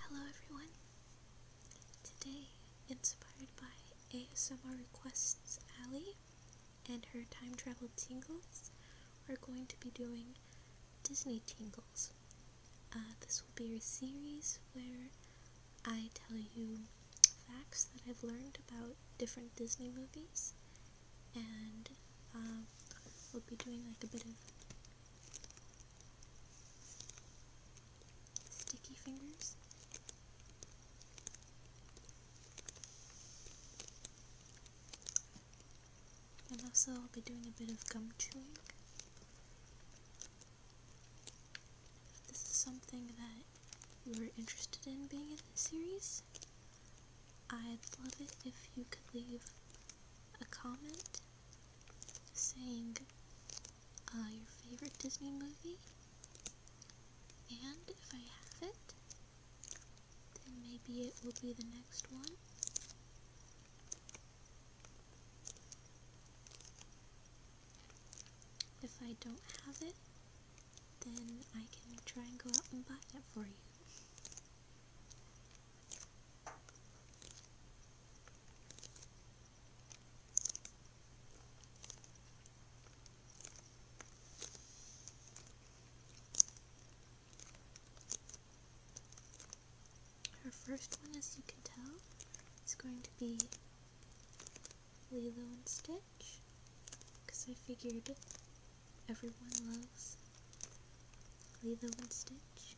Hello everyone! Today, inspired by ASMR Requests Allie and her time travel tingles, we're going to be doing Disney tingles. Uh, this will be a series where I tell you facts that I've learned about different Disney movies, and uh, we'll be doing like a bit of Sticky fingers. And also, I'll be doing a bit of gum chewing. If this is something that you're interested in being in this series, I'd love it if you could leave a comment saying uh, your favorite Disney movie, and if I have it, then maybe it will be the next one. If I don't have it, then I can try and go out and buy it for you. Her first one, as you can tell, is going to be Lilo and Stitch, because I figured everyone loves Lilo and Stitch.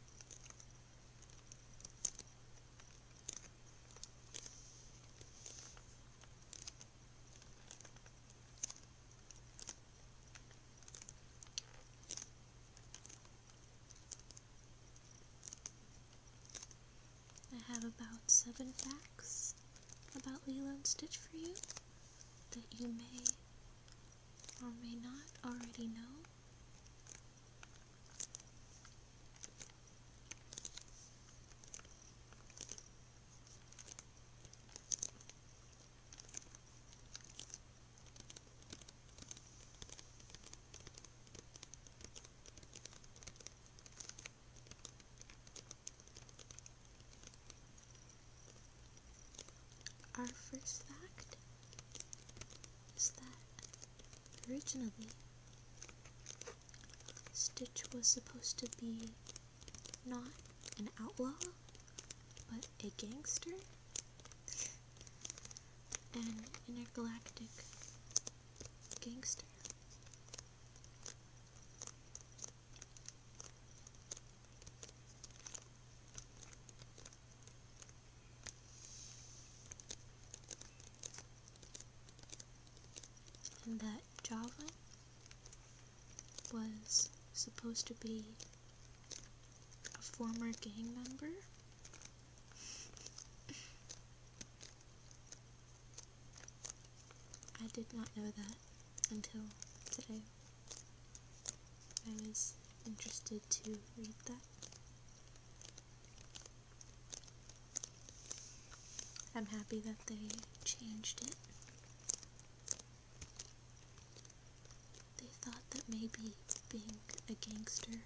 I have about seven facts about Leland Stitch for you that you may or may not already know. Our first fact originally Stitch was supposed to be not an outlaw, but a gangster an intergalactic gangster. And that Javelin was supposed to be a former gang member. I did not know that until today. I was interested to read that. I'm happy that they changed it. They thought that maybe being a gangster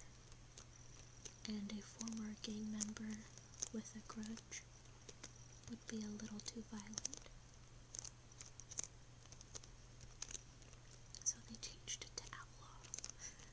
and a former gang member with a grudge would be a little too violent. So they changed it to outlaw.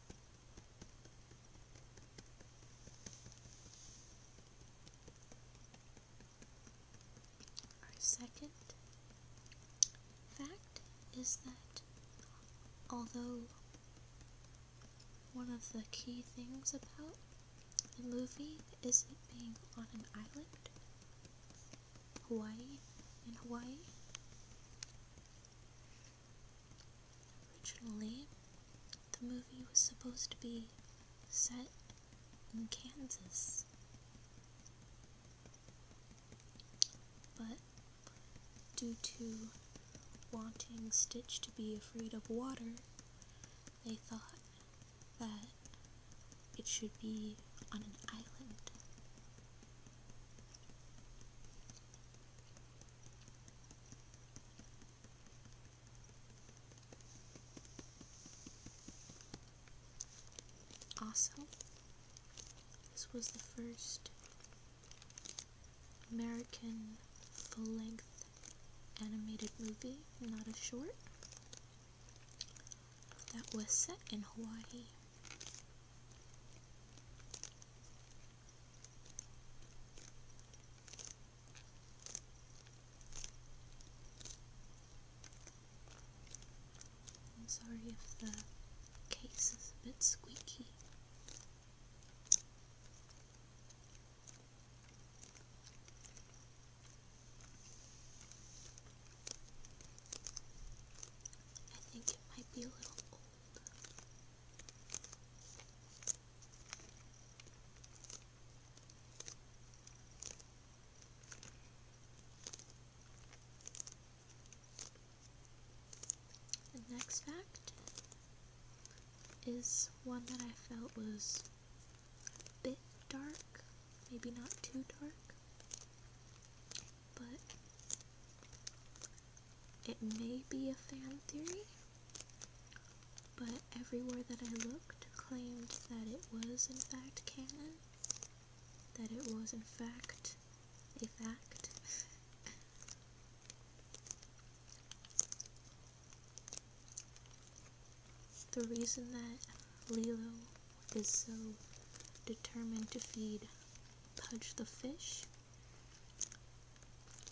second fact is that although one of the key things about the movie is it being on an island, Hawaii, in Hawaii, Originally, the movie was supposed to be set in Kansas, but due to wanting Stitch to be afraid of water, they thought that it should be on an island. Also, this was the first American full length animated movie, not a short, that was set in Hawaii. I'm sorry if the case is a bit squeaky. I think it might be a little the next fact is one that I felt was a bit dark, maybe not too dark, but it may be a fan theory, but everywhere that I looked claimed that it was in fact canon, that it was in fact a fact. the reason that Lilo is so determined to feed Pudge the fish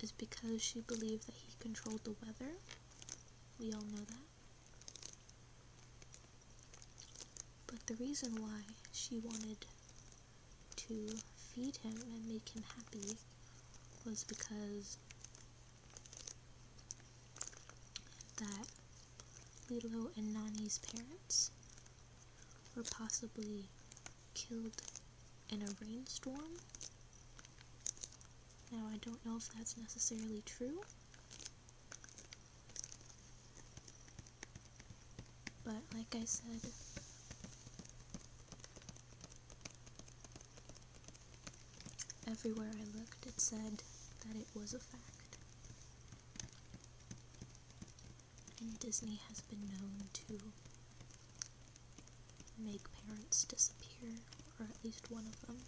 is because she believed that he controlled the weather. We all know that. But the reason why she wanted to feed him and make him happy was because that Lilo and Nani's parents were possibly killed in a rainstorm. Now, I don't know if that's necessarily true, but like I said, everywhere I looked, it said that it was a fact. And Disney has been known to make parents disappear, or at least one of them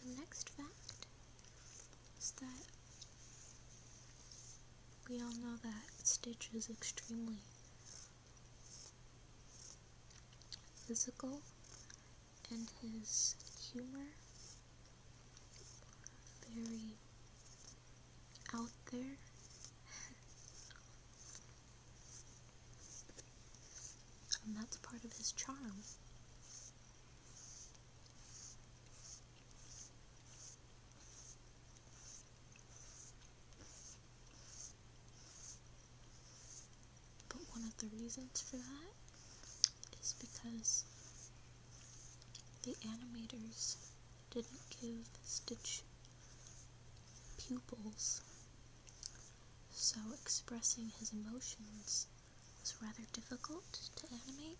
the next fact is that we all know that Stitch is extremely physical and his humor very out there. and that's part of his charm. But one of the reasons for that is because the animators didn't give Stitch pupils, so expressing his emotions was rather difficult to animate.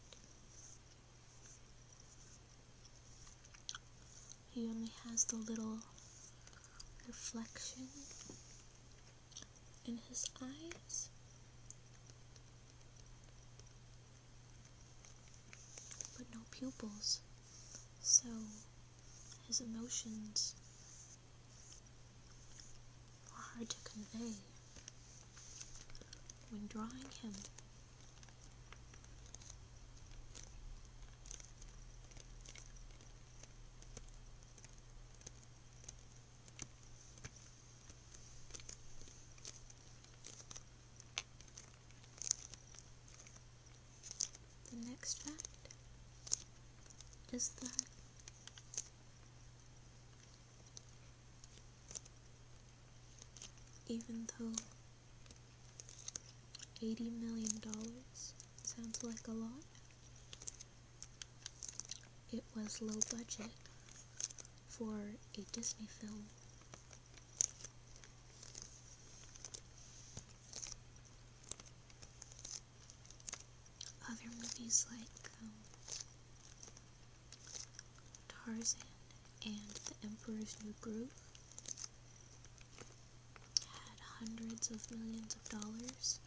He only has the little reflection in his eyes. But no pupils, so his emotions are hard to convey when drawing him. The next fact is that even though $80 million sounds like a lot, it was low budget for a Disney film. Other movies like um, Tarzan and The Emperor's New Groove had hundreds of millions of dollars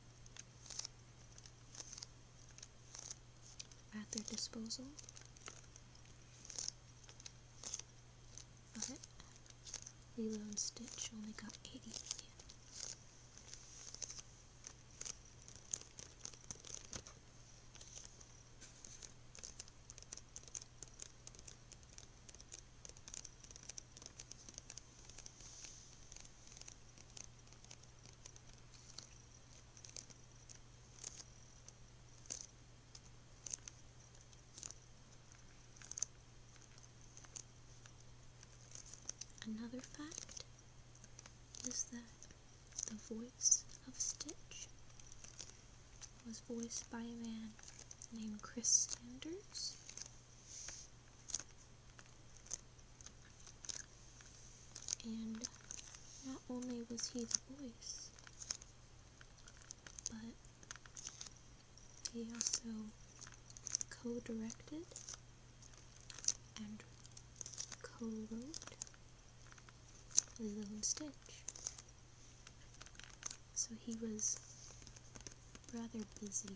at their disposal. But Lilo and Stitch only got 80 million. Another fact is that the voice of Stitch was voiced by a man named Chris Sanders and not only was he the voice, but he also co-directed and co-wrote Lilo and Stitch. So he was rather busy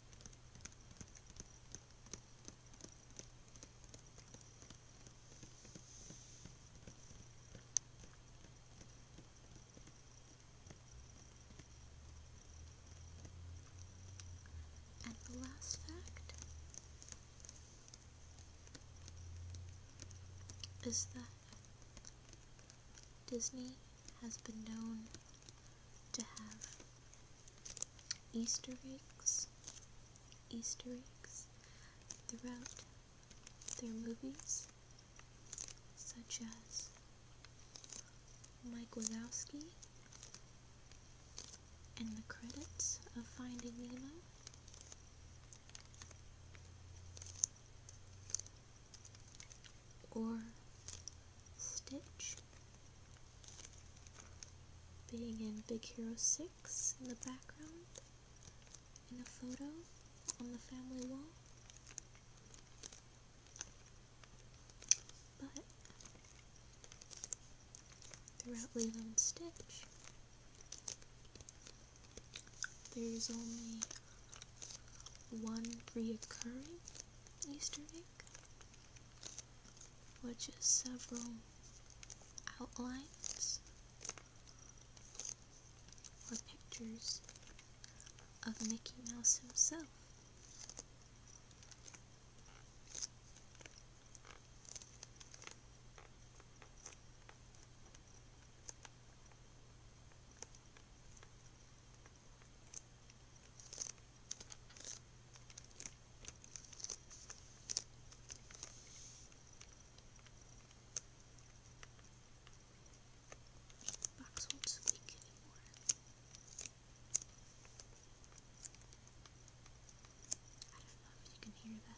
And the last fact is that Disney has been known to have Easter eggs, Easter eggs throughout their movies, such as Mike Wazowski in the credits of Finding Nemo or Stitch. Being in Big Hero 6 in the background, in a photo on the family wall. But throughout Lilo Stitch, there's only one reoccurring Easter egg, which is several outlines or pictures of Mickey Mouse himself. Box won't squeak anymore. I don't know if you can hear that.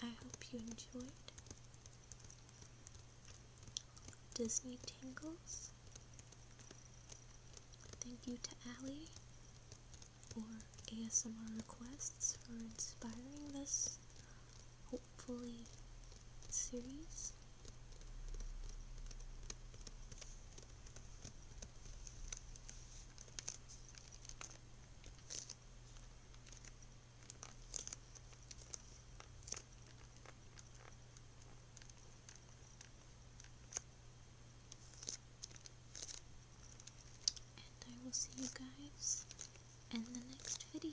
I hope you enjoyed Disney Tingles. Thank you to Allie for ASMR requests for inspiring this hopefully series. And I will see you guys in the next video.